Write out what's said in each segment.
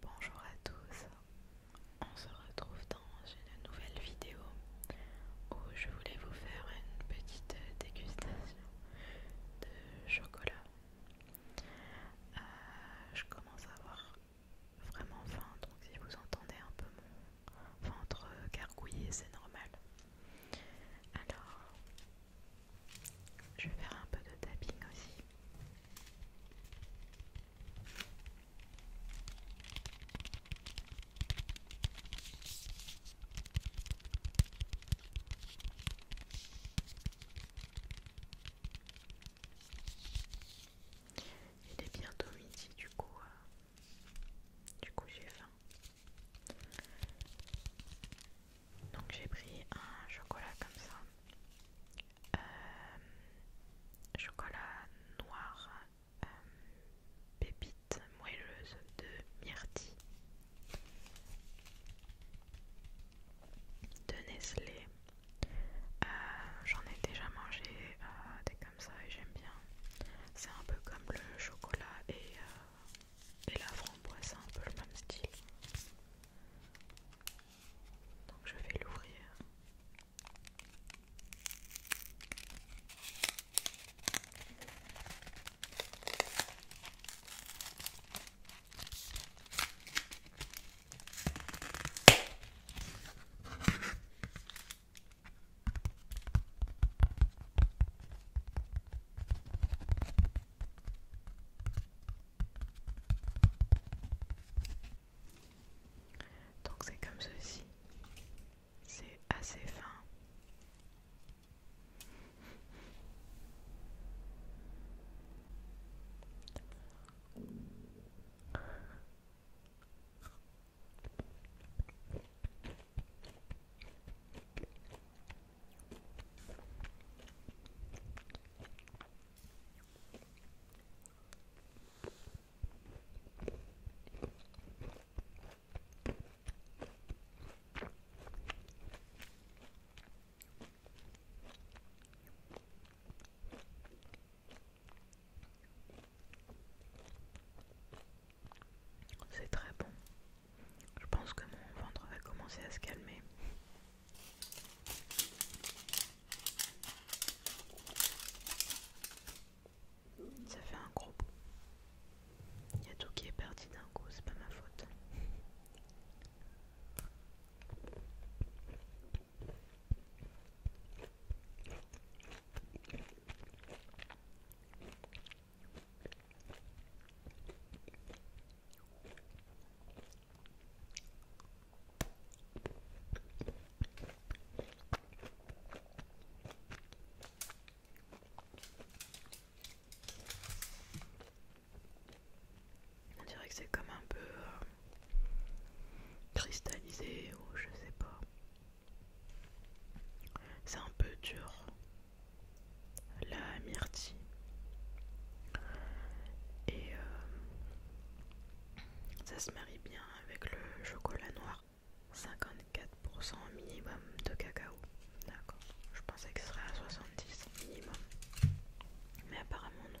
Bonjour à tous, on se retrouve dans une nouvelle vidéo où je voulais vous faire une petite dégustation de chocolat. Euh, je commence à avoir vraiment faim, donc si vous entendez un peu mon ventre gargouiller, c'est normal. Alors, je vais faire un peu de tapping aussi. Il est bientôt midi du coup. Euh, du coup j'ai faim. Donc j'ai pris un chocolat comme ça. Euh, chocolat noir, euh, pépite moelleuse de myrtille, de Nestlé. Euh, j'en ai déjà mangé des comme ça et j'aime bien. C'est un peu comme le chocolat et, et la framboise, c'est un peu le même style. Donc je vais l'ouvrir. Donc c'est comme ceci. C'est assez fin. C'est très bon. Je pense que mon ventre va commencer à se calmer. Ça fait un gros bout. Il y a tout qui est parti d'un coup, c'est pas ma faute. On dirait que c'est comme un peu euh, cristallisé ou je sais pas. C'est un peu dur la myrtille et euh, ça se marie bien avec le chocolat noir 54% minimum de cacao d'accord je pensais que ce serait à 70 minimum mais apparemment non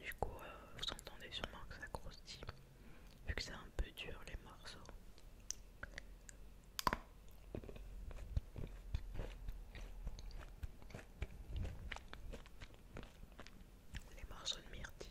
Du coup, euh, vous entendez sûrement que ça croustille, vu que c'est un peu dur les morceaux. Les morceaux de myrtille.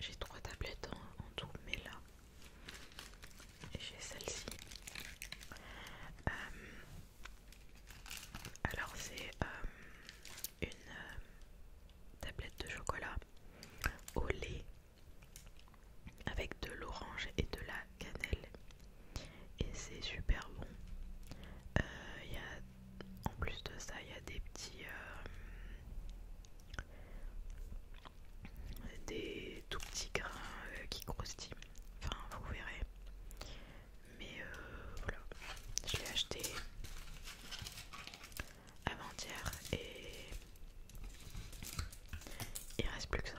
j'ai trois tablettes en, tout, mais là, j'ai celle-ci. Euh, alors c'est euh, une euh, tablette de chocolat au lait avec de l'orange et de la cannelle et c'est super bon en plus de ça, il y a des petits. Euh, des tout petits grains euh, qui croustillent. Enfin, vous verrez. Mais euh, voilà, je l'ai acheté avant-hier et il reste plus que ça.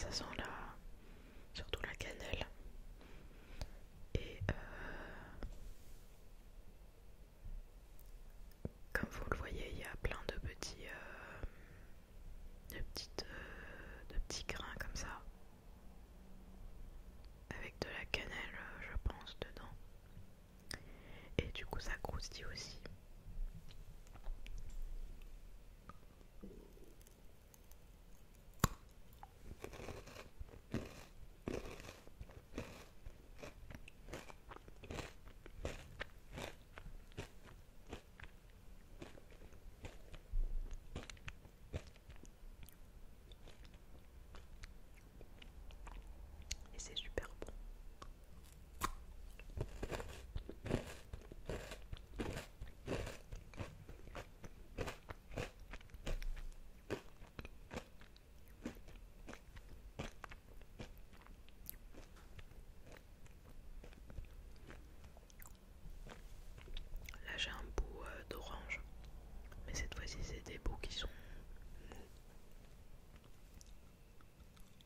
Ça sent la... surtout la cannelle. Et euh, comme vous le voyez, il y a plein de petits, euh, de petites, euh, de petits grains comme ça, avec de la cannelle, je pense, dedans. Et du coup, ça croustille aussi. Et c'est super bon. Là j'ai un bout euh, d'orange, mais cette fois-ci c'est des bouts qui sont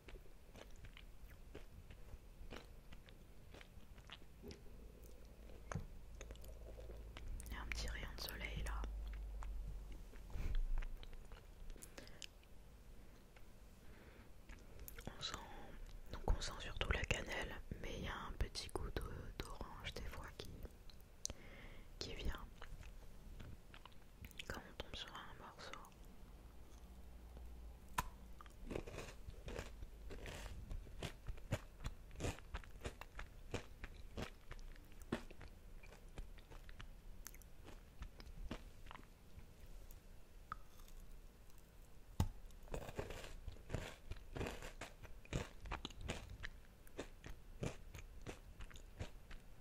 Il y a un petit rayon de soleil là. On sent, donc on sent surtout la cannelle, mais il y a un petit goût d'orange des fois qui, qui vient quand on tombe sur un morceau.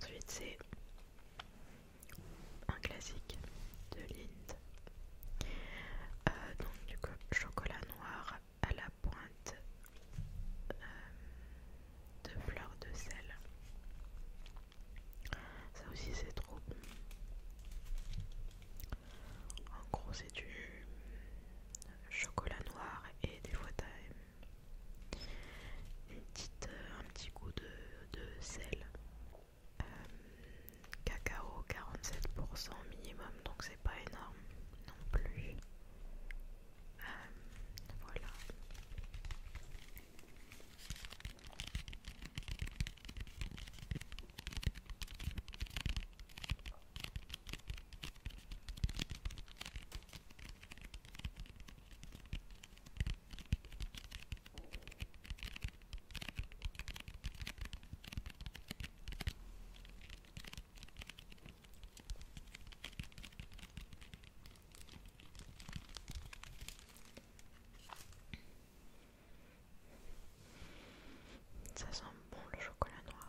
Ensuite, c'est un classique de l'Inde euh, donc du chocolat noir à la pointe euh, de fleur de sel. Ça aussi c'est trop bon. En gros c'est du chocolat noir et des fois t'as un petit goût de sel. Euh, cacao 47% minimum, donc c'est pas énorme non plus. Euh, ça sent bon le chocolat noir.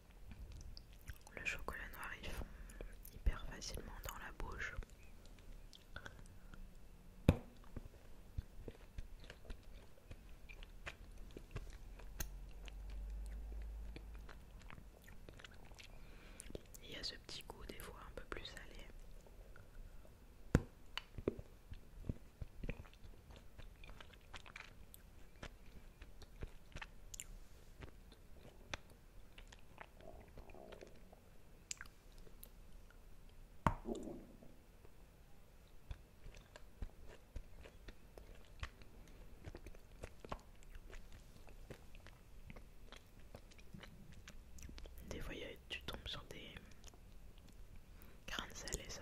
Le chocolat noir il fond hyper facilement dans la bouche. Il y a ce petit goût des fois un peu plus salé. Des fois, tu tombes sur des grains de et ça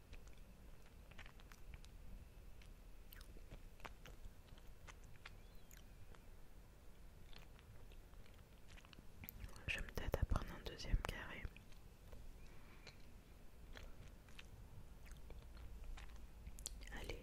Je me tâte à prendre un deuxième carré. Allez.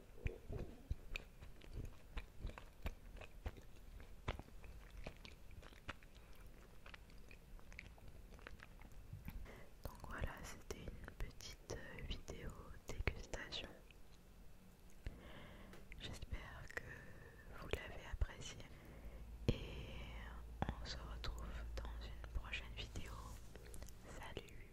Donc voilà, c'était une petite euh, vidéo dégustation. J'espère que vous l'avez appréciée et on se retrouve dans une prochaine vidéo. Salut